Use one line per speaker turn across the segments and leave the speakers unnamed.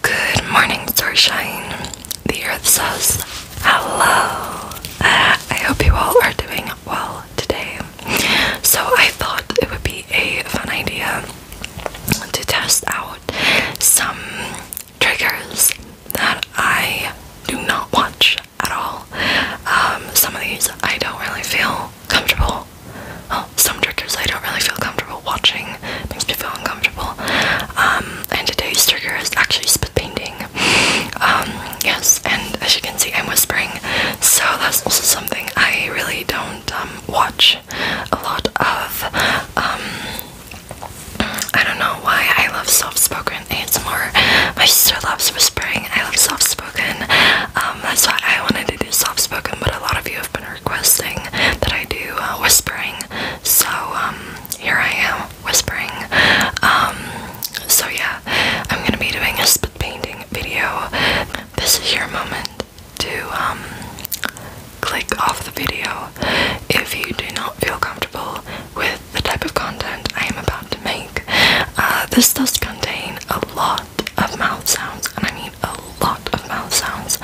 Good morning, Starshine. The earth says hello. Uh, I hope you all are doing well today. So, I thought it would be a fun idea to test out some triggers that I do not watch at all. Um, some of these I don't really feel comfortable well, some triggers I don't really feel comfortable watching. makes me feel uncomfortable. Um, and today's trigger is actually spit painting. Um, yes, and as you can see, I'm whispering. So that's also something I really don't um, watch a lot of. I don't know why I love soft-spoken more. My sister loves whispering. I love soft-spoken. that's why I wanted to do soft-spoken, but a lot of you have requesting that I do uh, whispering, so um, here I am whispering. Um, so yeah, I'm gonna be doing a spit painting video. This is your moment to um, click off the video if you do not feel comfortable with the type of content I am about to make. Uh, this does contain a lot of mouth sounds, and I mean a lot of mouth sounds.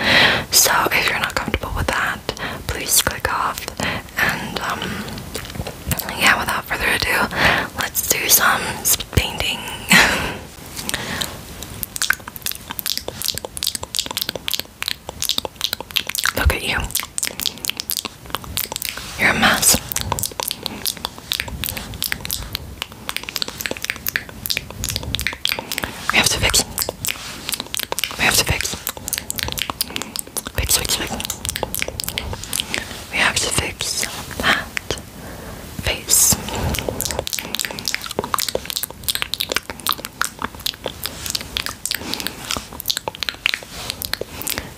So if you're not comfortable with that, please click off. And um, yeah, without further ado, let's do some painting. Look at you. You're a mess. We have to fix We have to fix. Fix, fix, fix. We have to fix that face.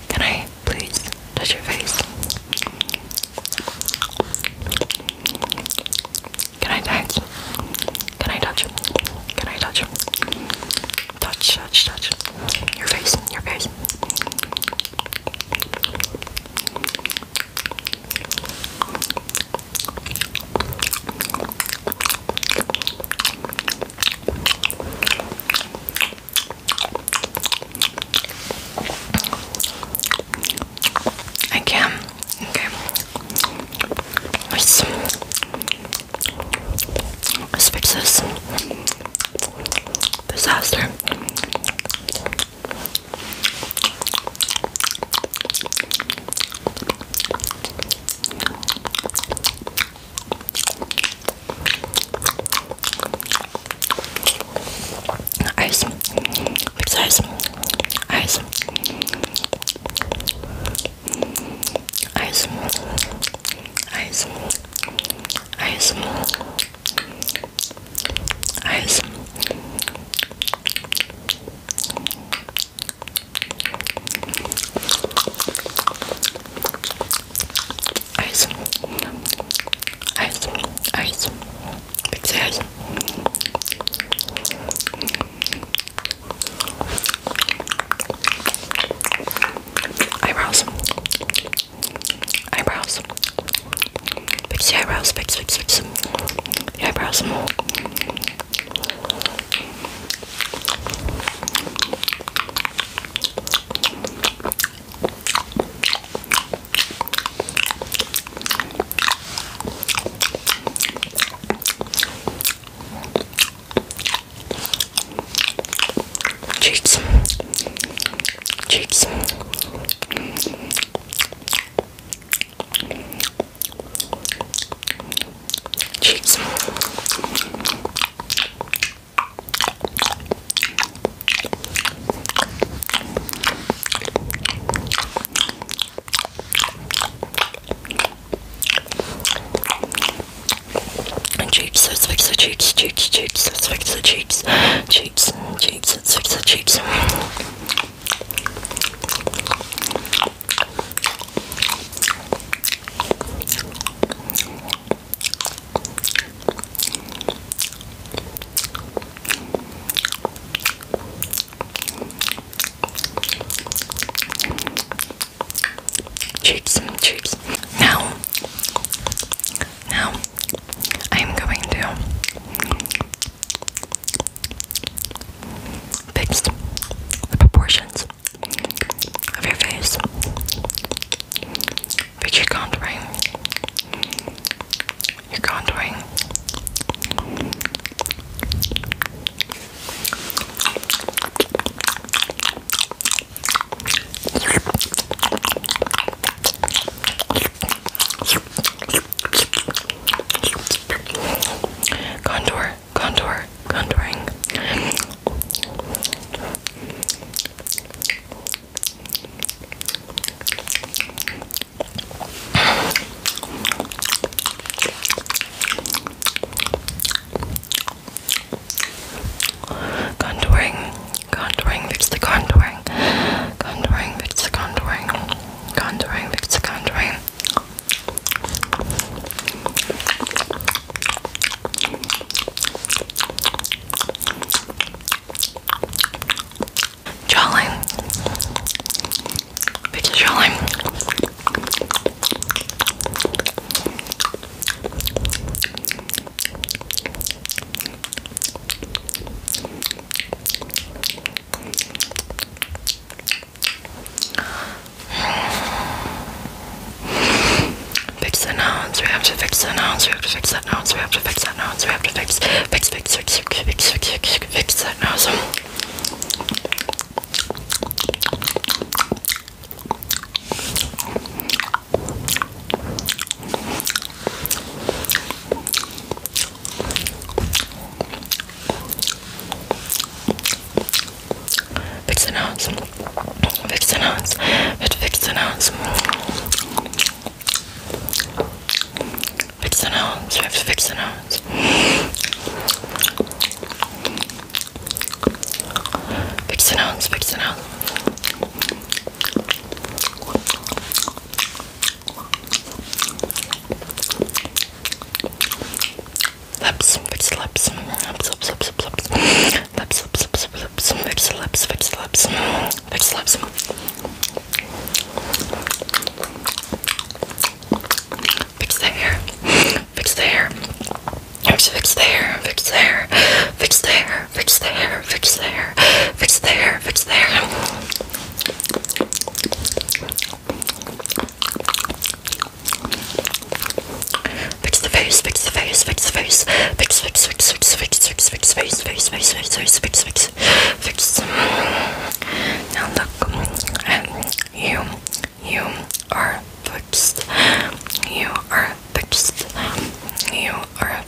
Can I please touch your face. Can I touch? Can I touch? Can I touch? Touch, touch, touch. Your face, your face. I can. Okay. Let's let disaster. Eis, gibt's Eis, Eis, Eis, Eis, Eis, Eis. Ice. Ice. Ice. Big size. Eyebrows. Eyebrows. Fix the eyebrows. Fix, fix, fix. The eyebrows. Cheeks, cheeks cheeks. And cheeks, let's fix cheeks, cheeks, cheeks, cheeks, cheeks, cheeks, cheeks. Chips, chips. Now, now, I'm going to Fix the proportions of your face. you Fix your contouring. Your contouring. Contour, contour, contouring. Contouring, contouring, fix the contouring. Contouring, fix the contouring. Contouring, fix the contouring. Jolene, Vicky Jolene. Fix the nouns, we have to fix the nouns, we have to fix that nouns, we have to fix that nouns, we have to fix, fix, fix, fix, fix, fix, fix, fix, fix that nouns. Fix den Hals. Fix den Hals. fix den Hals. Fix den Hals. fix den Hals. Fix den Hals. Fix den Hals. Lips, lips, lips, lips, lips, lips, lips, lips, lips, lips, lips, lips, lips, lips, lips, lips. Fix the hair, fix the hair, fix the hair, fix the hair, Fix the hair, fix the hair, fix the hair, fix the hair, fix the hair. Fix the face, fix the face, fix the face, fix, fix, fix, fix, fix, fix, fix, face, face, face, face, face, fix, fix, fix. Now look, and you, you are fixed. You are fixed. You are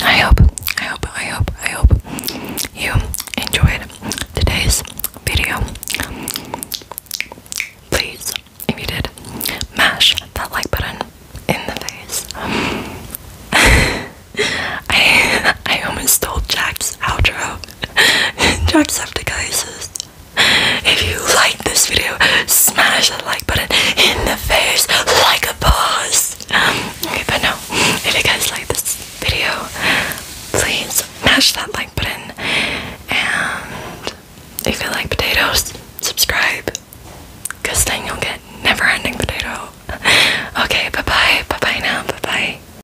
I hope, I hope, I hope, I hope you enjoyed today's video. Please, if you did, mash that like button in the face. I I almost stole Jack's outro to Jacksepticuses. If you like this video, smash that like button in the face like a boss. Um, okay, but no, if you guys like this video, please smash that like button. And if you like potatoes, subscribe. Because then you'll get never ending potato. Okay, bye bye. Bye bye now. Bye bye.